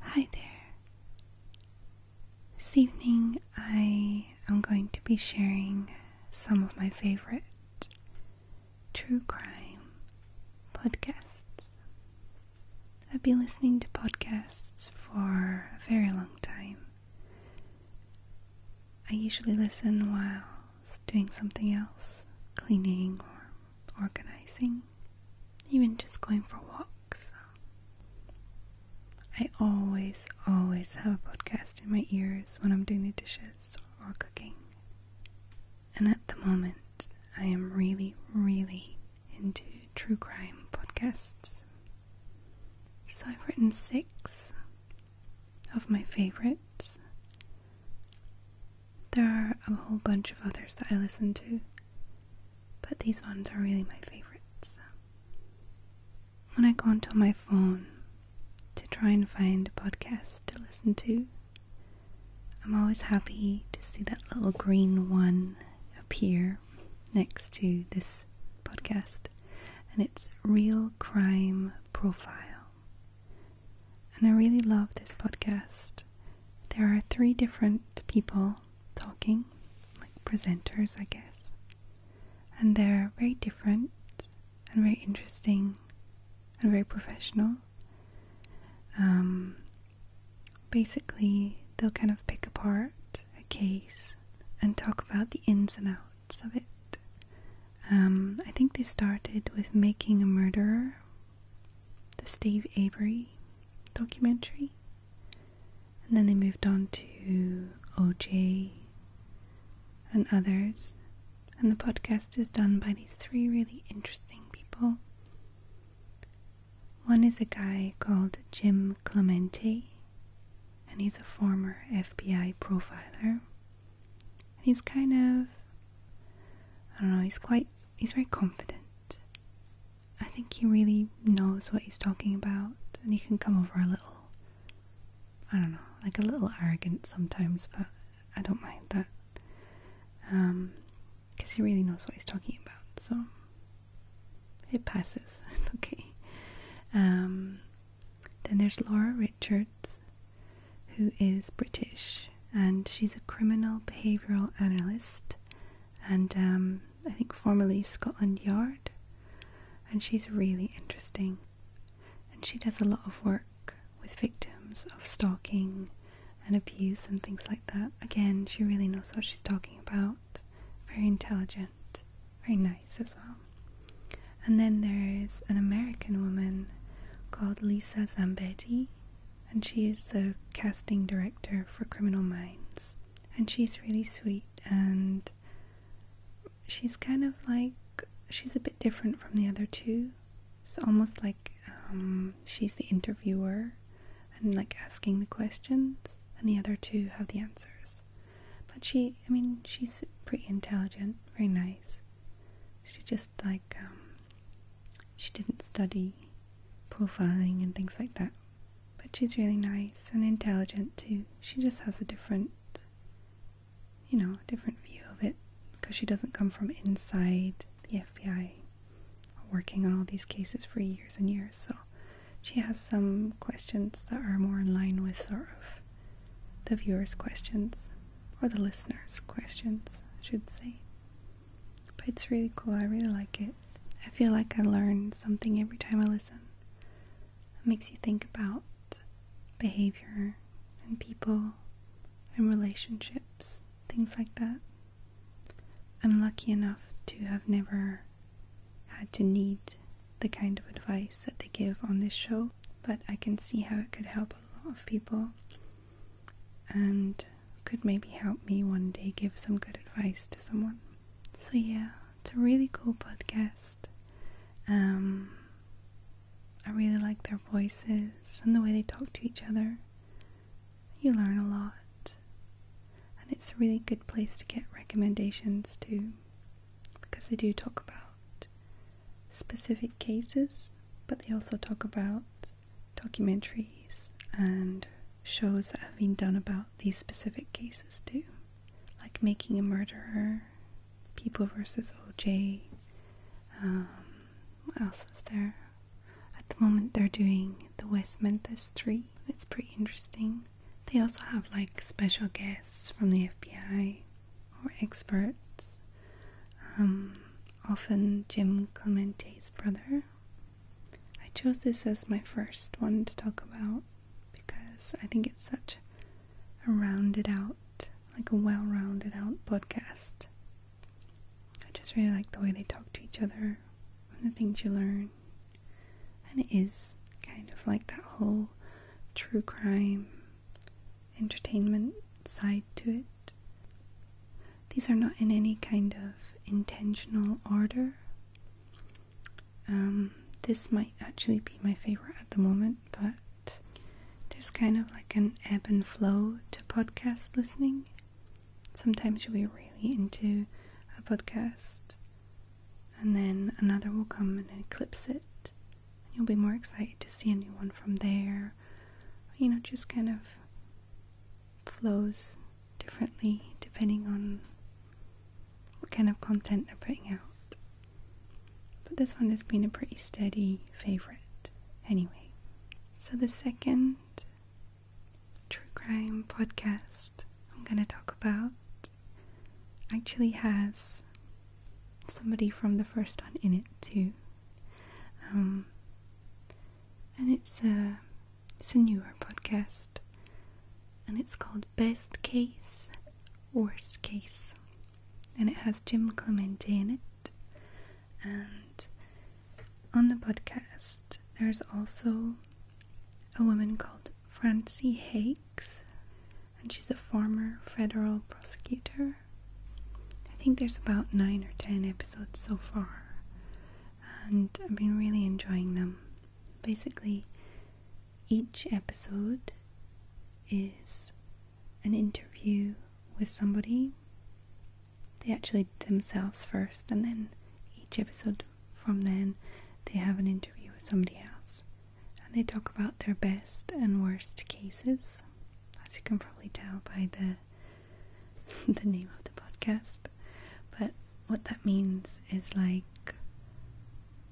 Hi there. This evening I am going to be sharing some of my favorite true crime podcasts. I've been listening to podcasts for a very long time. I usually listen while doing something else, cleaning or organizing even just going for walks. I always, always have a podcast in my ears when I'm doing the dishes or cooking. And at the moment, I am really, really into true crime podcasts. So I've written six of my favorites. There are a whole bunch of others that I listen to, but these ones are really my favorites. When I go onto my phone to try and find a podcast to listen to, I'm always happy to see that little green one appear next to this podcast, and it's Real Crime Profile. And I really love this podcast there are three different people talking, like presenters, I guess. And they're very different and very interesting and very professional. Um, basically, they'll kind of pick apart a case and talk about the ins and outs of it. Um, I think they started with making a murderer the Steve Avery documentary. And then they moved on to OJ and others. And the podcast is done by these three really interesting people. One is a guy called Jim Clemente, and he's a former FBI profiler. he's kind of, I don't know, he's quite he's very confident. I think he really knows what he's talking about, and he can come over a little, I don't know, like a little arrogant sometimes, but I don't mind that. Um, because he really knows what he's talking about, so it passes, it's okay. Um, then there's Laura Richards, who is British, and she's a criminal behavioral analyst, and um, I think formerly Scotland Yard. And she's really interesting, and she does a lot of work with victims of stalking and abuse and things like that. Again, she really knows what she's talking about. Very intelligent, very nice as well. And then there's an American woman called Lisa Zambetti, and she is the casting director for Criminal Minds. And she's really sweet, and she's kind of like she's a bit different from the other two. It's almost like um, she's the interviewer and like asking the questions, and the other two have the answers. But she, I mean, she's pretty intelligent, very nice. She just like um, she didn't study profiling and things like that. But she's really nice and intelligent too. She just has a different, you know, different view of it because she doesn't come from inside the FBI working on all these cases for years and years. So she has some questions that are more in line with sort of the viewer's questions or the listener's questions, should say. But it's really cool. I really like it. I feel like I learn something every time I listen. It makes you think about behavior and people and relationships, things like that. I'm lucky enough to have never had to need the kind of advice that they give on this show, but I can see how it could help a lot of people and could maybe help me one day give some good advice to someone. So, yeah, it's a really cool podcast. Um, I really like their voices and the way they talk to each other. You learn a lot, and it's a really good place to get recommendations too, because they do talk about specific cases, but they also talk about documentaries and shows that have been done about these specific cases too, like Making a Murderer, People vs. OJ. Um, what else is there? At the moment, they're doing the West Memphis 3. It's pretty interesting. They also have like special guests from the FBI or experts um, often Jim Clemente's brother. I chose this as my first one to talk about because I think it's such a rounded out, like a well rounded out podcast. I just really like the way they talk to each other and the things you learn. And it is kind of like that whole true crime entertainment side to it. These are not in any kind of intentional order. Um, this might actually be my favorite at the moment, but there's kind of like an ebb and flow to podcast listening. Sometimes you'll be really into a podcast, and then another will come and eclipse it you'll be more excited to see a new one from there. You know, just kind of flows differently depending on what kind of content they're putting out. But this one has been a pretty steady favorite anyway. So, the second true crime podcast I'm going to talk about actually has somebody from the first one in it too. Um, and it's a it's a newer podcast, and it's called Best Case, Worst Case, and it has Jim Clemente in it. And on the podcast, there's also a woman called Francie Hakes, and she's a former federal prosecutor I think there's about nine or ten episodes so far, and I've been really enjoying them. Basically, each episode is an interview with somebody. They actually themselves first, and then each episode from then they have an interview with somebody else. And they talk about their best and worst cases as you can probably tell by the the name of the podcast. But what that means is like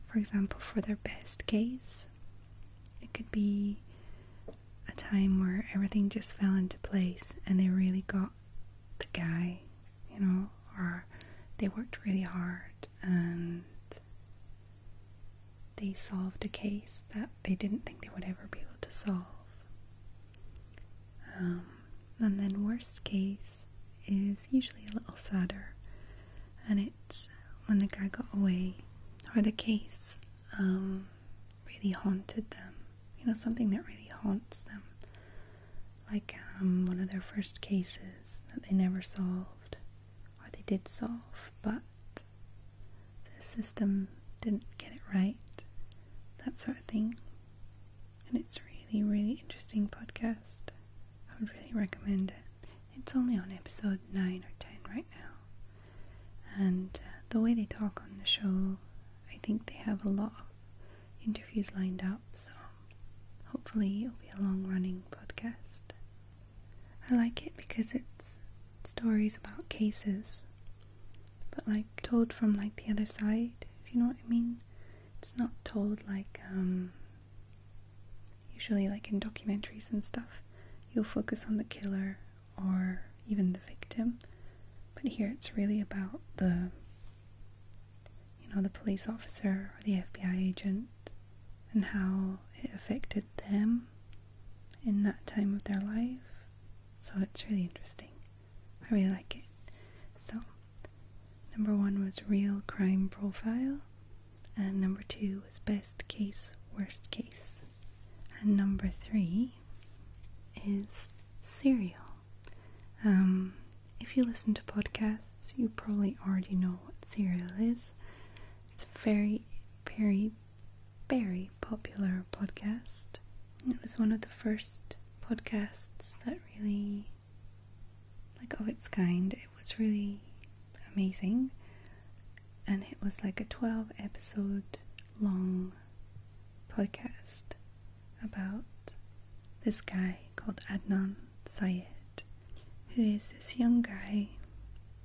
for example, for their best case, it could be a time where everything just fell into place and they really got the guy, you know, or they worked really hard and they solved a case that they didn't think they would ever be able to solve. Um, and then, worst case is usually a little sadder, and it's when the guy got away, or the case um, really haunted them. You know, something that really haunts them, like um, one of their first cases that they never solved, or they did solve, but the system didn't get it right, that sort of thing. And it's really, really interesting podcast. I would really recommend it. It's only on episode 9 or 10 right now. And uh, the way they talk on the show, I think they have a lot of interviews lined up, so hopefully it'll be a long running podcast. I like it because it's stories about cases, but like told from like the other side, if you know what I mean. It's not told like um, usually like in documentaries and stuff. You'll focus on the killer or even the victim, but here it's really about the you know the police officer or the FBI agent and how it affected them in that time of their life. So it's really interesting. I really like it. So, number one was real crime profile, and number two was best case, worst case, and number three is serial. Um, if you listen to podcasts, you probably already know what serial is. It's very very, very, popular podcast. It was one of the first podcasts that really, like, of its kind. It was really amazing. And it was like a 12 episode long podcast about this guy called Adnan Sayed who is this young guy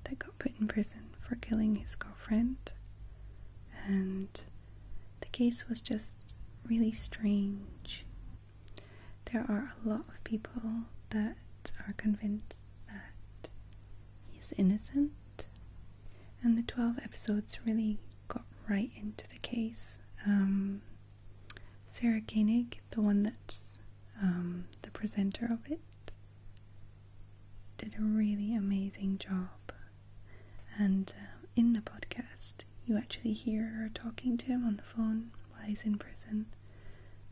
that got put in prison for killing his girlfriend. And the case was just really strange. There are a lot of people that are convinced that he's innocent. And the 12 episodes really got right into the case. Um, Sarah Koenig, the one that's um, the presenter of it, did a really amazing job. And um, in the podcast, you actually hear her talking to him on the phone while he's in prison.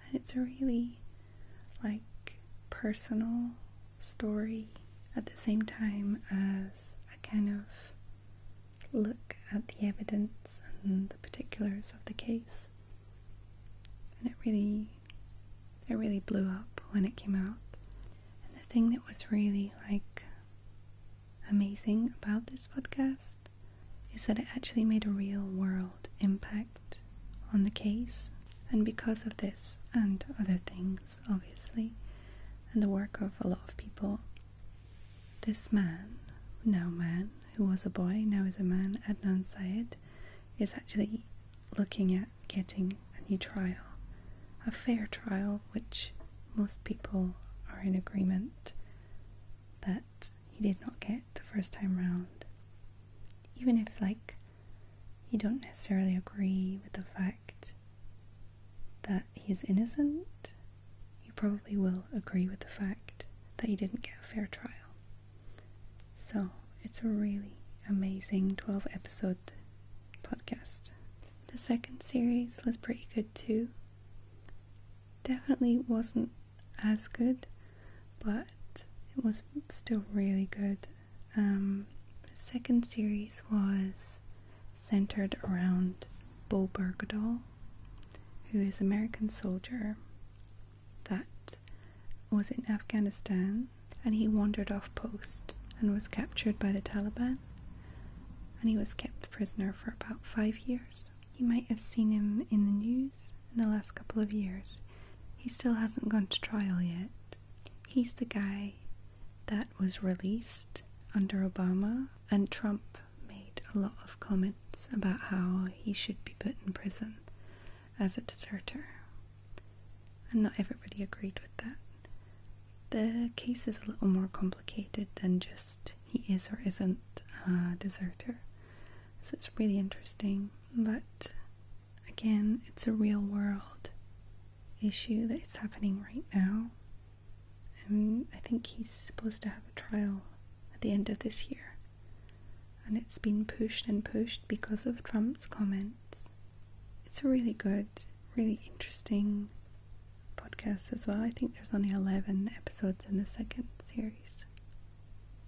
And it's a really, like, personal story at the same time as a kind of look at the evidence and particulars of the case. And it really it really blew up when it came out. And the thing that was really like amazing about this podcast is that it actually made a real world impact on the case. And because of this and other things, obviously, and the work of a lot of people, this man, now man, who was a boy, now is a man, Adnan Syed, is actually looking at getting a new trial, a fair trial, which most people are in agreement that he did not get the first time round. Even if, like, you don't necessarily agree with the fact that he is innocent, you probably will agree with the fact that he didn't get a fair trial. So it's a really amazing 12 episode podcast. The second series was pretty good too. Definitely wasn't as good, but it was still really good. Um, the second series was centered around Bo Bergdahl, who is American soldier that was in Afghanistan and he wandered off post and was captured by the Taliban and he was kept prisoner for about five years. You might have seen him in the news in the last couple of years. He still hasn't gone to trial yet. He's the guy that was released under Obama and Trump made a lot of comments about how he should be put in prison as a deserter. And not everybody agreed with that. The case is a little more complicated than just he is or isn't a deserter. So it's really interesting, but again, it's a real world issue that is happening right now. And I think he's supposed to have a trial at the end of this year and it's been pushed and pushed because of Trump's comments. It's a really good, really interesting podcast as well. I think there's only 11 episodes in the second series,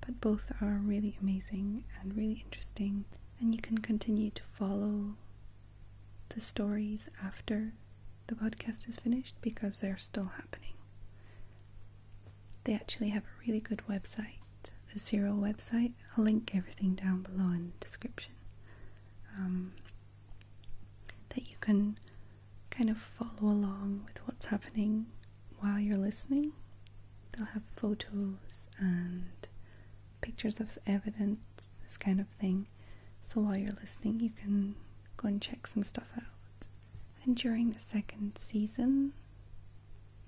but both are really amazing and really interesting, and you can continue to follow the stories after the podcast is finished because they're still happening. They actually have a really good website, the Serial website. I'll link everything down below in the description. Um, that you can kind of follow along with what's happening while you're listening. They'll have photos and pictures of evidence, this kind of thing. So while you're listening, you can go and check some stuff out and during the second season,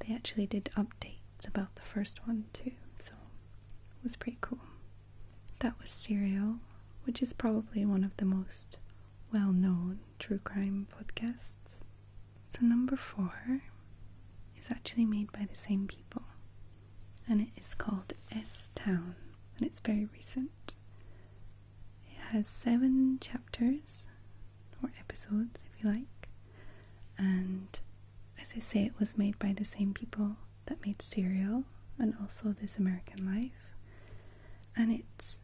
they actually did updates about the first one too, so it was pretty cool. That was Serial, which is probably one of the most well known true crime podcasts. So, number four is actually made by the same people, and it is called S Town, and it's very recent. It has seven chapters, or episodes if you like, and as I say, it was made by the same people that made Serial and also This American Life, and it's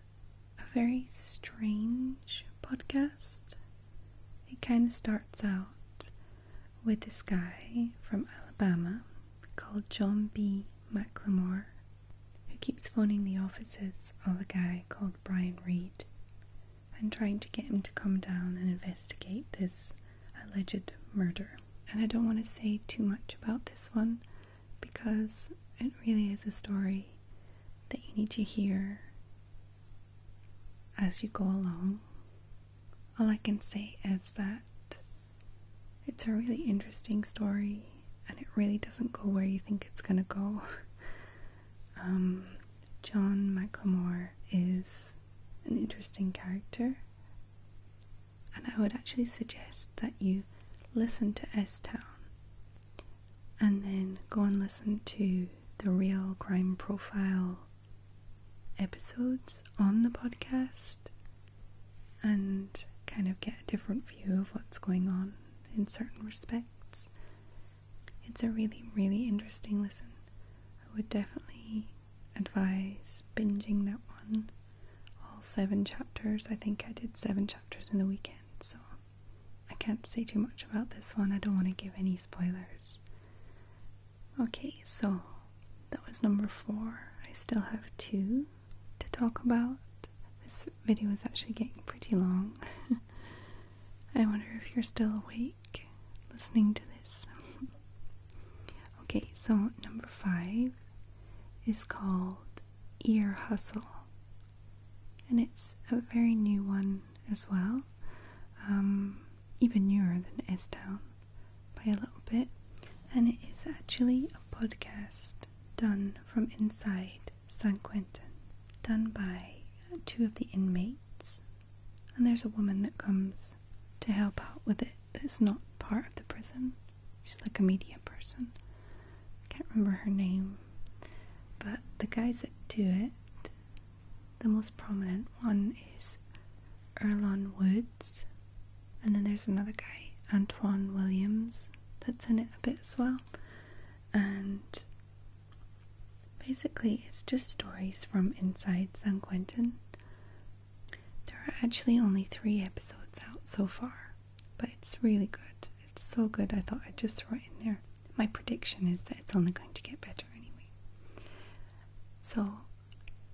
a very strange podcast. It kind of starts out with this guy from Alabama called John B. McLemore, who keeps phoning the offices of a guy called Brian Reed and trying to get him to come down and investigate this alleged murder. And I don't want to say too much about this one because it really is a story that you need to hear as you go along. All I can say is that it's a really interesting story, and it really doesn't go where you think it's gonna go. Um, John McLemore is an interesting character, and I would actually suggest that you listen to S Town and then go and listen to the real crime profile episodes on the podcast and kind of get a different view of what's going on in certain respects. It's a really, really interesting listen. I would definitely advise binging that one. All seven chapters. I think I did seven chapters in the weekend, so I can't say too much about this one. I don't want to give any spoilers. Okay, so that was number four. I still have two to talk about. This video is actually getting pretty long. I wonder if you're still awake listening to this. okay, so number five is called Ear Hustle, and it's a very new one as well, um, even newer than S Town by a little bit, and it is actually a podcast done from inside San Quentin, done by two of the inmates. And there's a woman that comes to help out with it that's not part of the prison. She's like a media person. I can't remember her name. But the guys that do it, the most prominent one is Erlon Woods, and then there's another guy, Antoine Williams, that's in it a bit as well. And basically, it's just stories from inside San Quentin. There are actually only three episodes out so far, but it's really good. It's so good, I thought I'd just throw it in there. My prediction is that it's only going to get better anyway. So,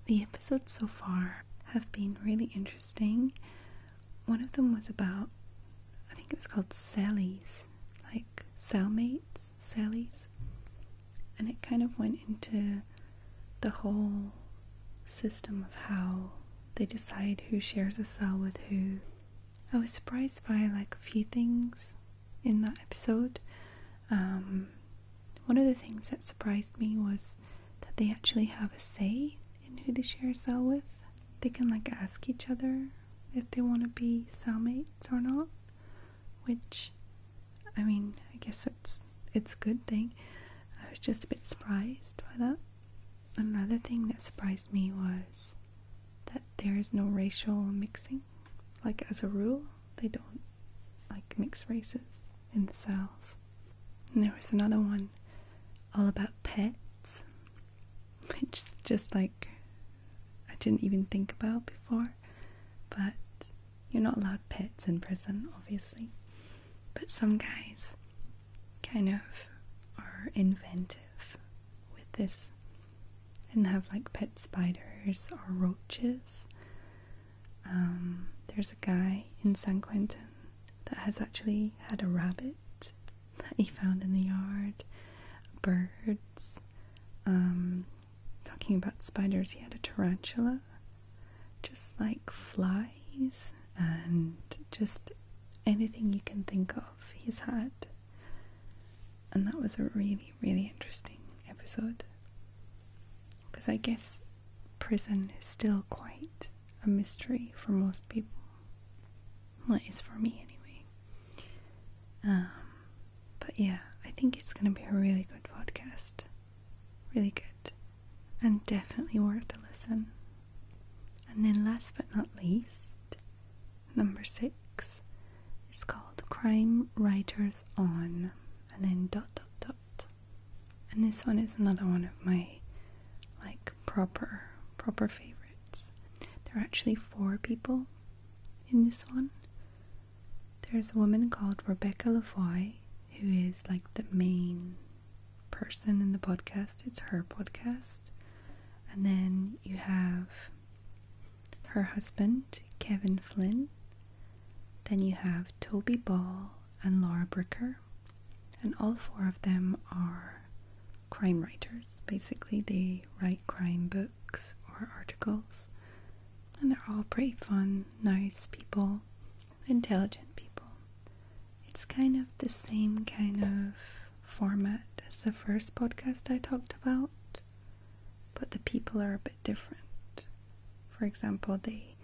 the episodes so far have been really interesting. One of them was about, I think it was called Sally's, like cellmates, Sally's. And it kind of went into the whole system of how they decide who shares a cell with who. I was surprised by like a few things in that episode. Um, one of the things that surprised me was that they actually have a say in who they share a cell with. They can like ask each other if they want to be cellmates or not, which I mean, I guess it's it's a good thing. I was just a bit surprised by that. Another thing that surprised me was that there is no racial mixing. Like as a rule, they don't like mix races in the cells. And there was another one all about pets, which is just like I didn't even think about before. But you're not allowed pets in prison, obviously. But some guys kind of are inventive with this and have like pet spiders or roaches um, there's a guy in San Quentin that has actually had a rabbit that he found in the yard, birds. Um, talking about spiders, he had a tarantula, just like flies and just anything you can think of, he's had. And that was a really, really interesting episode because I guess prison is still quite a mystery for most people. Well, it is for me anyway. Um, but yeah, I think it's going to be a really good podcast. Really good. And definitely worth a listen. And then, last but not least, number six is called Crime Writers On, and then dot dot dot. And this one is another one of my like proper proper favorites. There are actually four people in this one. There's a woman called Rebecca Lavoie who is like the main person in the podcast. It's her podcast. And then you have her husband, Kevin Flynn. Then you have Toby Ball and Laura Bricker, and all four of them are crime writers. Basically, they write crime books or articles, and they're all pretty fun, nice people, intelligent people. It's kind of the same kind of format as the first podcast I talked about, but the people are a bit different. For example, they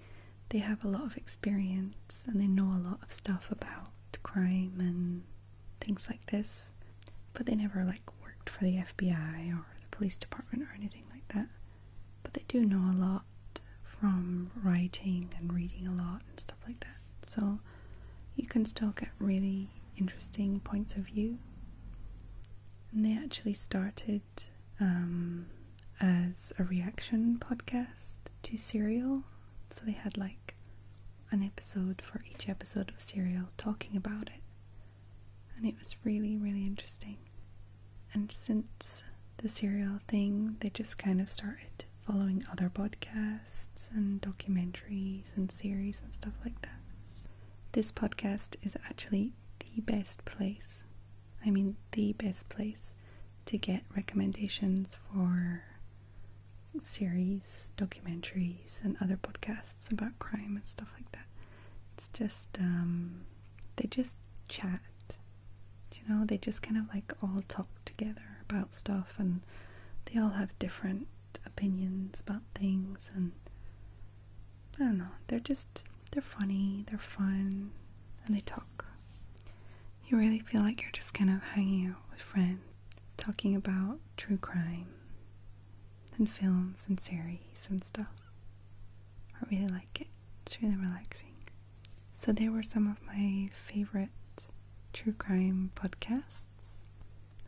they have a lot of experience and they know a lot of stuff about crime and things like this, but they never like worked for the FBI or the police department or anything like that. But they do know a lot from writing and reading a lot and stuff like that. So you can still get really interesting points of view. And they actually started um, as a reaction podcast to Serial. So they had like an episode for each episode of Serial talking about it. And it was really, really interesting. And since the Serial thing, they just kind of started following other podcasts and documentaries and series and stuff like that. This podcast is actually the best place I mean, the best place to get recommendations for series, documentaries, and other podcasts about crime and stuff like that. It's just, um, they just chat. You know, they just kind of like all talk together about stuff and they all have different opinions about things and I don't know. They're just they're funny, they're fun, and they talk. You really feel like you're just kind of hanging out with friends, talking about true crime and films and series and stuff. I really like it. It's really relaxing. So they were some of my favorite true crime podcasts.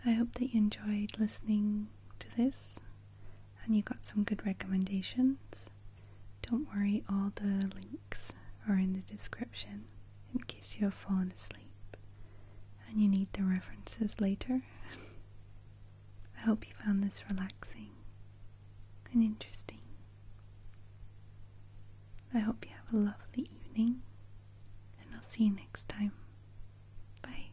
I hope that you enjoyed listening to this and you got some good recommendations. Don't worry, all the links are in the description in case you have fallen asleep and you need the references later. I hope you found this relaxing and interesting. I hope you have a lovely evening, and I'll see you next time. Bye.